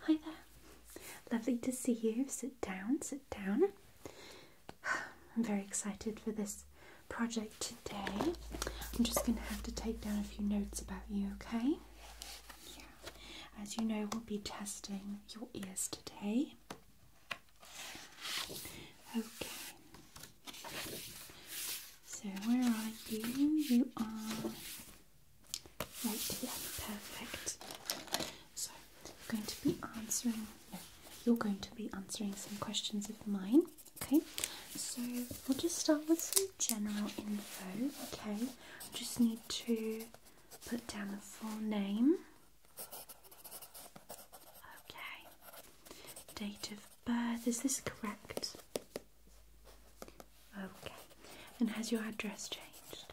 Hi there. Lovely to see you. Sit down, sit down. I'm very excited for this project today. I'm just going to have to take down a few notes about you, okay? Yeah. As you know, we'll be testing your ears today. Okay. So where are you? You are right here. Perfect. So I'm going to be answering. you're going to be answering some questions of mine. Okay. So we'll just start with some general info. Okay. just need to put down the full name. Okay. Date of birth, uh, is this correct? Okay, and has your address changed?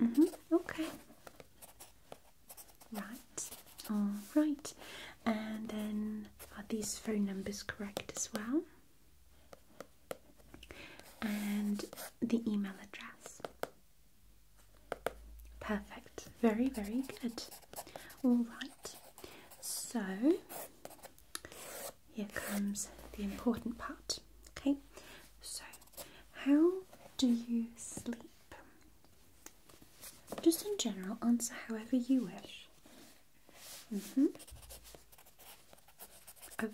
Mm hmm, okay. Right, alright, and then are these phone numbers correct as well? And the email address. Perfect, very, very good. All right, so here comes the important part. Okay, so how do you sleep? Just in general, answer however you wish. Mm hmm. Okay.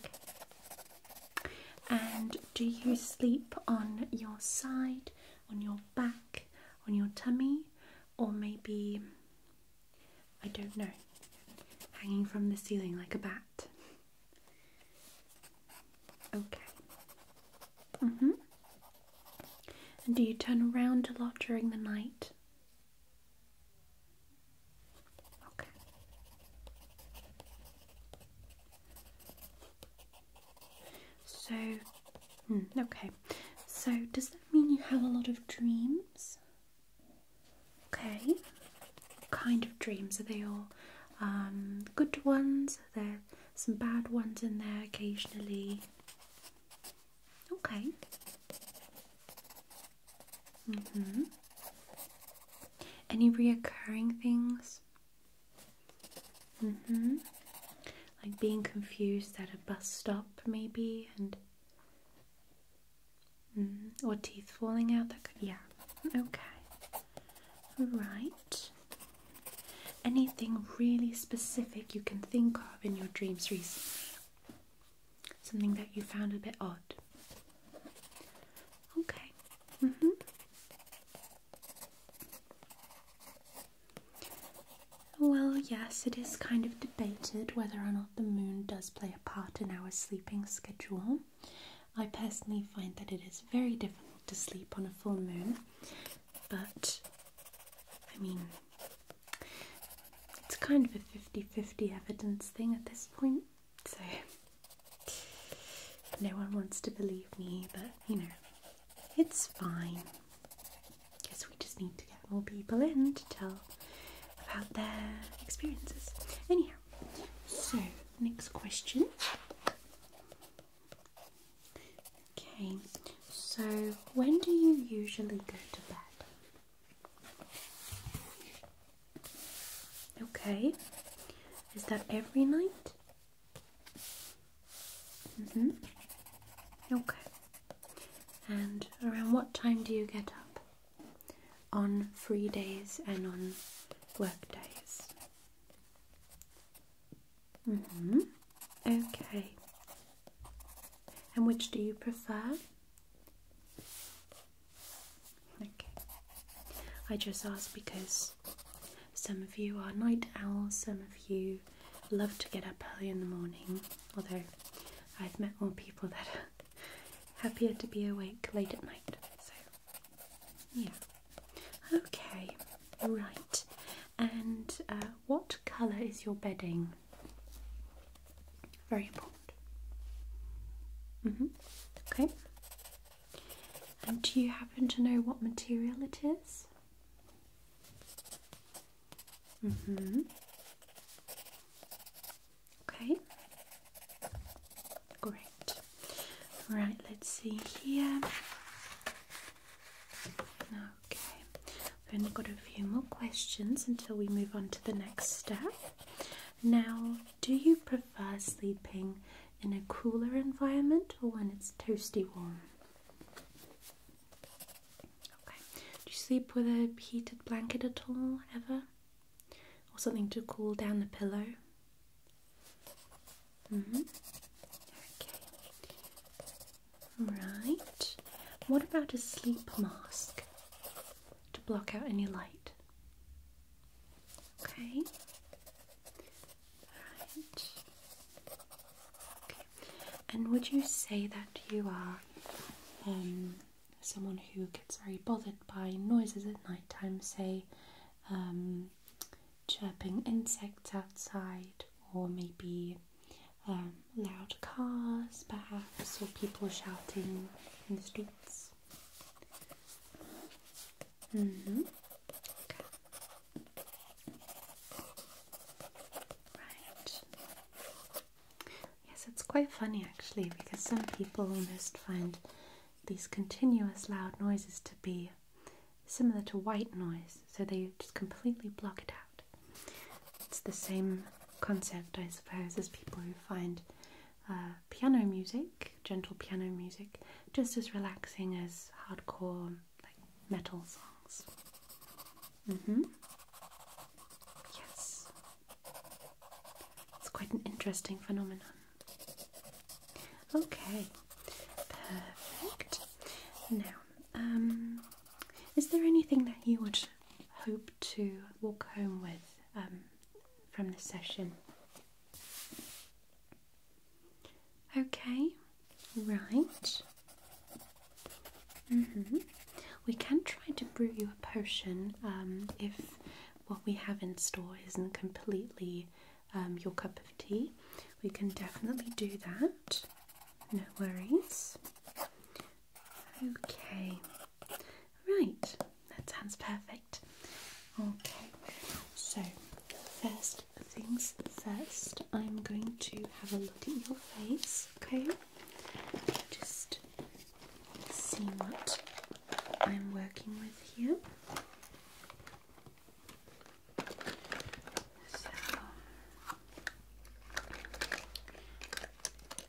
And do you sleep on your side, on your back, on your tummy, or maybe I don't know, hanging from the ceiling like a bat. Okay. Mhm. Mm and do you turn around a lot during the night? Okay. So Hmm, okay, so does that mean you have a lot of dreams? Okay, kind of dreams are they all? Um, good ones? Are some bad ones in there occasionally? Okay. Mm hmm. Any reoccurring things? Mm hmm like being confused at a bus stop, maybe, and mm, or teeth falling out. That could, yeah, okay, right. Anything really specific you can think of in your dreams recently? Something that you found a bit odd. Okay. Mm-hmm. Well, yes, it is kind of debated whether or not the moon does play a part in our sleeping schedule. I personally find that it is very difficult to sleep on a full moon, but I mean, it's kind of a 50 50 evidence thing at this point, so no one wants to believe me, but you know, it's fine. Guess we just need to get more people in to tell about their experiences. Anyhow, so next question. Okay, so when do you usually go to bed? Okay, is that every night? Mm hmm. Okay. And around what time do you get up? On free days and on work days. Mm hmm. Okay. And which do you prefer? Okay. I just ask because some of you are night owls, some of you love to get up early in the morning, although I've met more people that are happier to be awake late at night. So, yeah. Okay, right. And uh, what colour is your bedding? Very important. -hmm. Okay. And do you happen to know what material it is? Mm hmm. Okay. Great. Right, let's see here. Okay. we've only got a few more questions until we move on to the next step. Now, do you prefer sleeping in a cooler environment or when it's toasty warm? Do you sleep with a heated blanket at all, ever? Or something to cool down the pillow? Mm-hmm. Right. What about a sleep mask to block out any light? Okay. Right. And would you say that you are um, someone who gets very bothered by noises at night time, say um, chirping insects outside, or maybe um, loud cars perhaps, or people shouting in the streets? Mm-hmm. Right. Yes, it's quite funny actually because some people almost find these continuous loud noises to be similar to white noise, so they just completely block it out. It's the same concept, I suppose, as people who find uh, piano music, gentle piano music, just as relaxing as hardcore like metal songs. Mm-hmm. Yes. It's quite an interesting phenomenon. Okay. Perfect. Now, um is there anything that you would hope to walk home with um from this session? Okay, right. Mm-hmm. We can try to brew you a potion um, if what we have in store isn't completely um, your cup of tea. We can definitely do that. No worries. Okay, right. That sounds perfect. Okay, so first things first, I'm going to have a look at your face, okay? Just see what I'm working with here. So,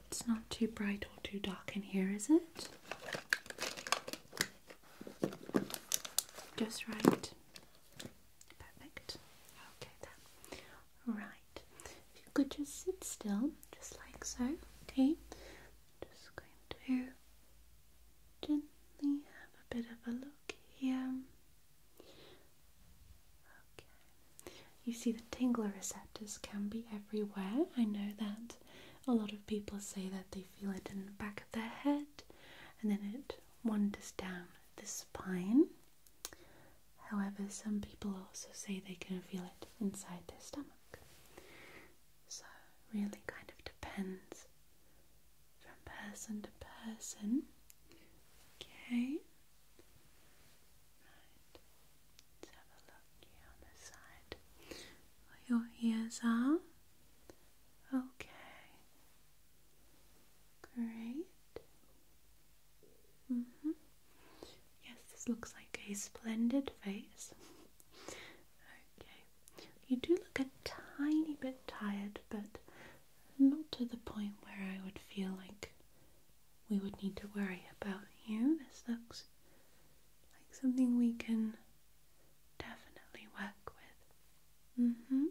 it's not too bright or too dark in here, is it? Just right. Perfect. Okay then. Right. If you could just sit still, just like so, okay? Just going to gently have a bit of a look here. Okay. You see the tingler receptors can be everywhere. I know that a lot of people say that they feel it in the back of their head and then it wanders down the spine. However, some people also say they can feel it inside their stomach. So, really kind of depends from person to person. Okay. Let's have a look here on the side where your ears are. Okay. Great. Mm-hmm. Yes, this looks like a splendid face. okay. You do look a tiny bit tired, but not to the point where I would feel like we would need to worry about you. This looks like something we can definitely work with. Mm hmm.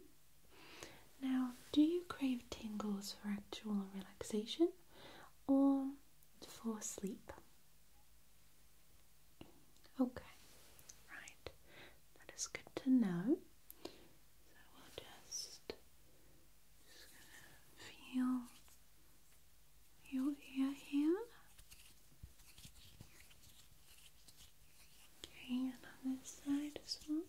Now, do you crave tingles for actual relaxation or for sleep? Okay, right, that is good to know. So we'll just, just gonna feel your ear here. Okay, and on this side as well.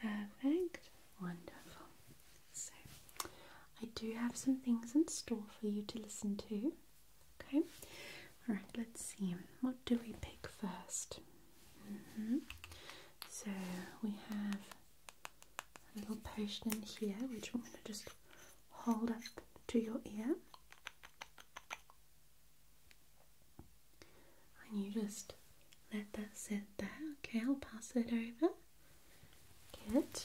Perfect. Wonderful. So, I do have some things in store for you to listen to. Okay. All right. Let's see. What do we pick first? Mm-hmm. So we have a little potion in here, which I'm going to just hold up to your ear. And you just let that sit there. Okay, I'll pass it over. Good.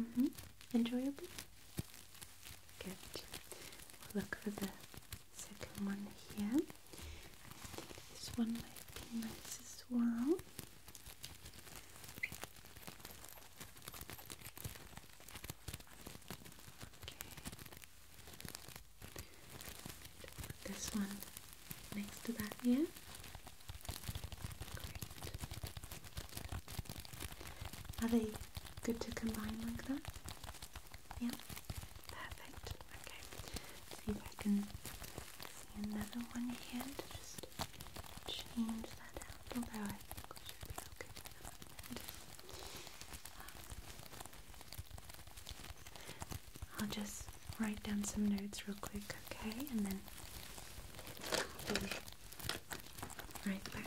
Mm -hmm. Enjoyable? Good. we look for the second one here. this one might be nice as well. Okay. this one next to that here. Great. Are they good to combine like that? Yeah, perfect. Okay, see if I can see another one here to just change that out, although I think we okay um, I'll just write down some notes real quick, okay, and then be right back.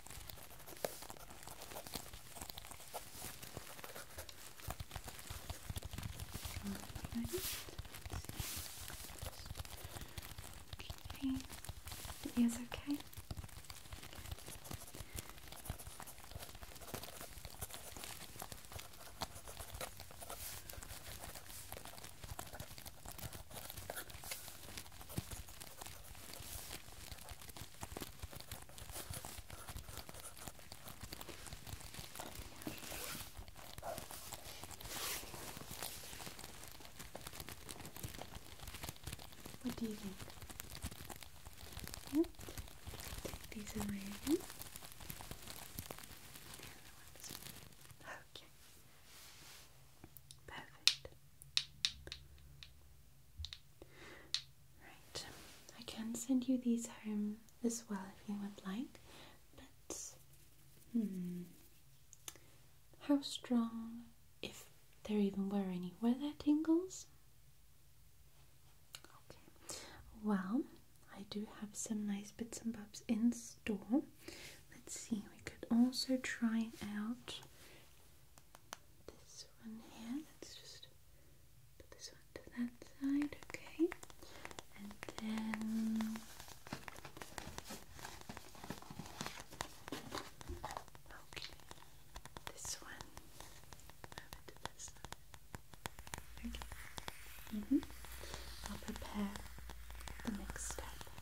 Okay. The ears okay? What do you think? Yep. these away again. Okay. Perfect. Right, I can send you these home as well if you would like, but hmm, how strong, if there even were any, weather tingles? Okay, well, I do have some nice bits and bobs in store. Let's see, we could also try out this one here. Let's just put this one to that side, okay? And then okay, this one over to this side. Okay. Mm -hmm. I'll prepare the next step.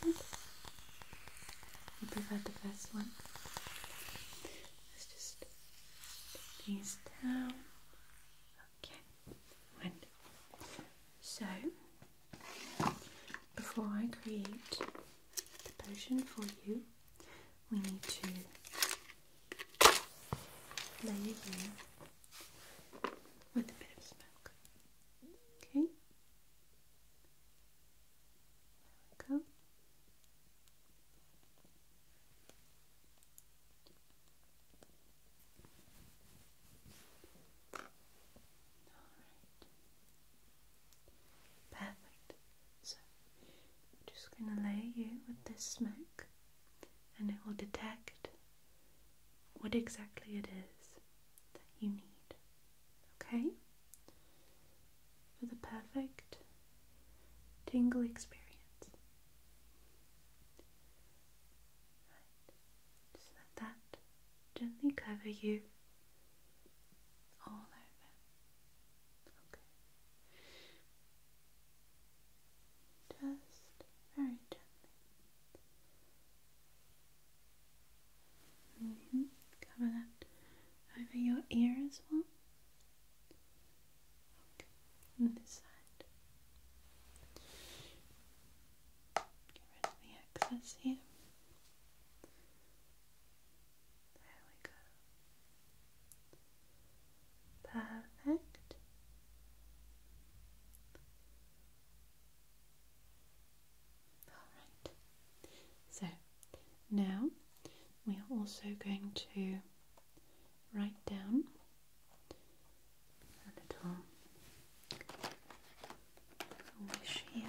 Good. You prefer the first one? Let's just these down. Okay, So before I create the potion for you, we need to lay it you with a bit of smoke. Okay? There we go. All right. Perfect. So I'm just going to layer you with this smoke and it will detect what exactly it is that you need. Okay? For the perfect tingle experience. Just let that gently cover you all over. Okay. Just very gently. Mm-hmm. Cover that over your ear as well. Okay. And this side. Get rid of the excess here. There we go. Perfect. Alright, so now we are also going to write down a little wish here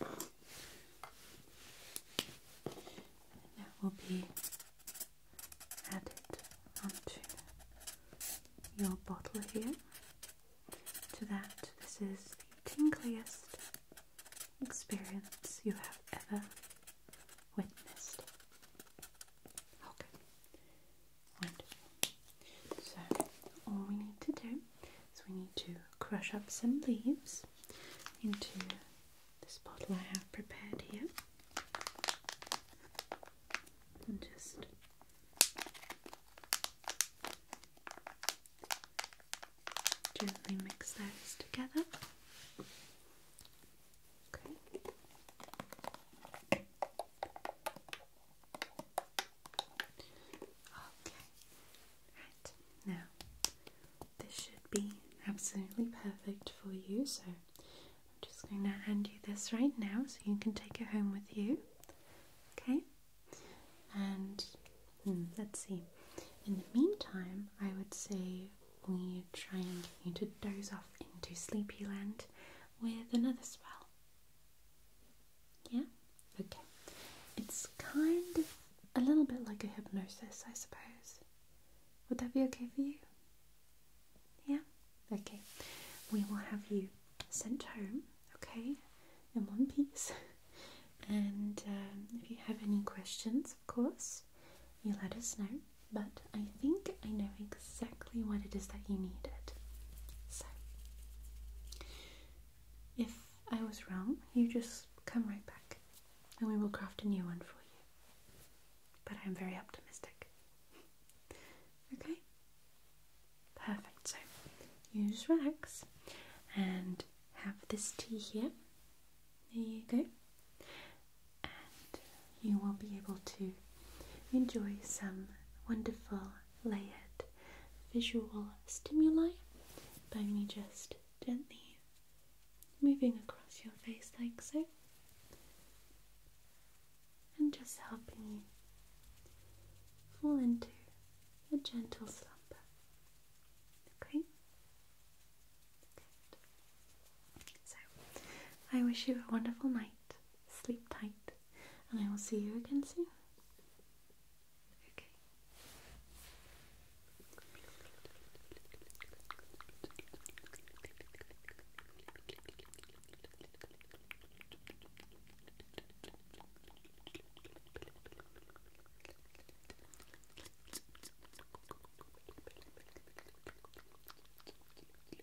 that will be added onto your bottle here. To that, this is the tingliest experience you have ever witnessed. Okay, so, all we need to do is we need to crush up some leaves into this bottle I have prepared here and just gently mix those together. Okay. Okay, right now this should be absolutely perfect for you. So I'm just going to hand you this right now so you can take it home with you. Okay, and hmm, let's see. In the meantime, I would say we try and get you to doze off into sleepy land with another spell. Yeah? Okay. It's kind of a little bit like a hypnosis, I suppose. Would that be okay for you? Yeah? Okay. We will have you sent home, okay? In one piece. And um, if you have any questions, of course, you let us know. But I think I know exactly what it is that you needed. So, if I was wrong, you just come right back and we will craft a new one for you. But I am very optimistic. okay? Perfect. So, you relax and have this tea here. There you go. And you will be able to enjoy some wonderful Lay it, visual stimuli by me just gently moving across your face like so and just helping you fall into a gentle slumber. Okay? So, I wish you a wonderful night sleep tight, and I will see you again soon. Okay.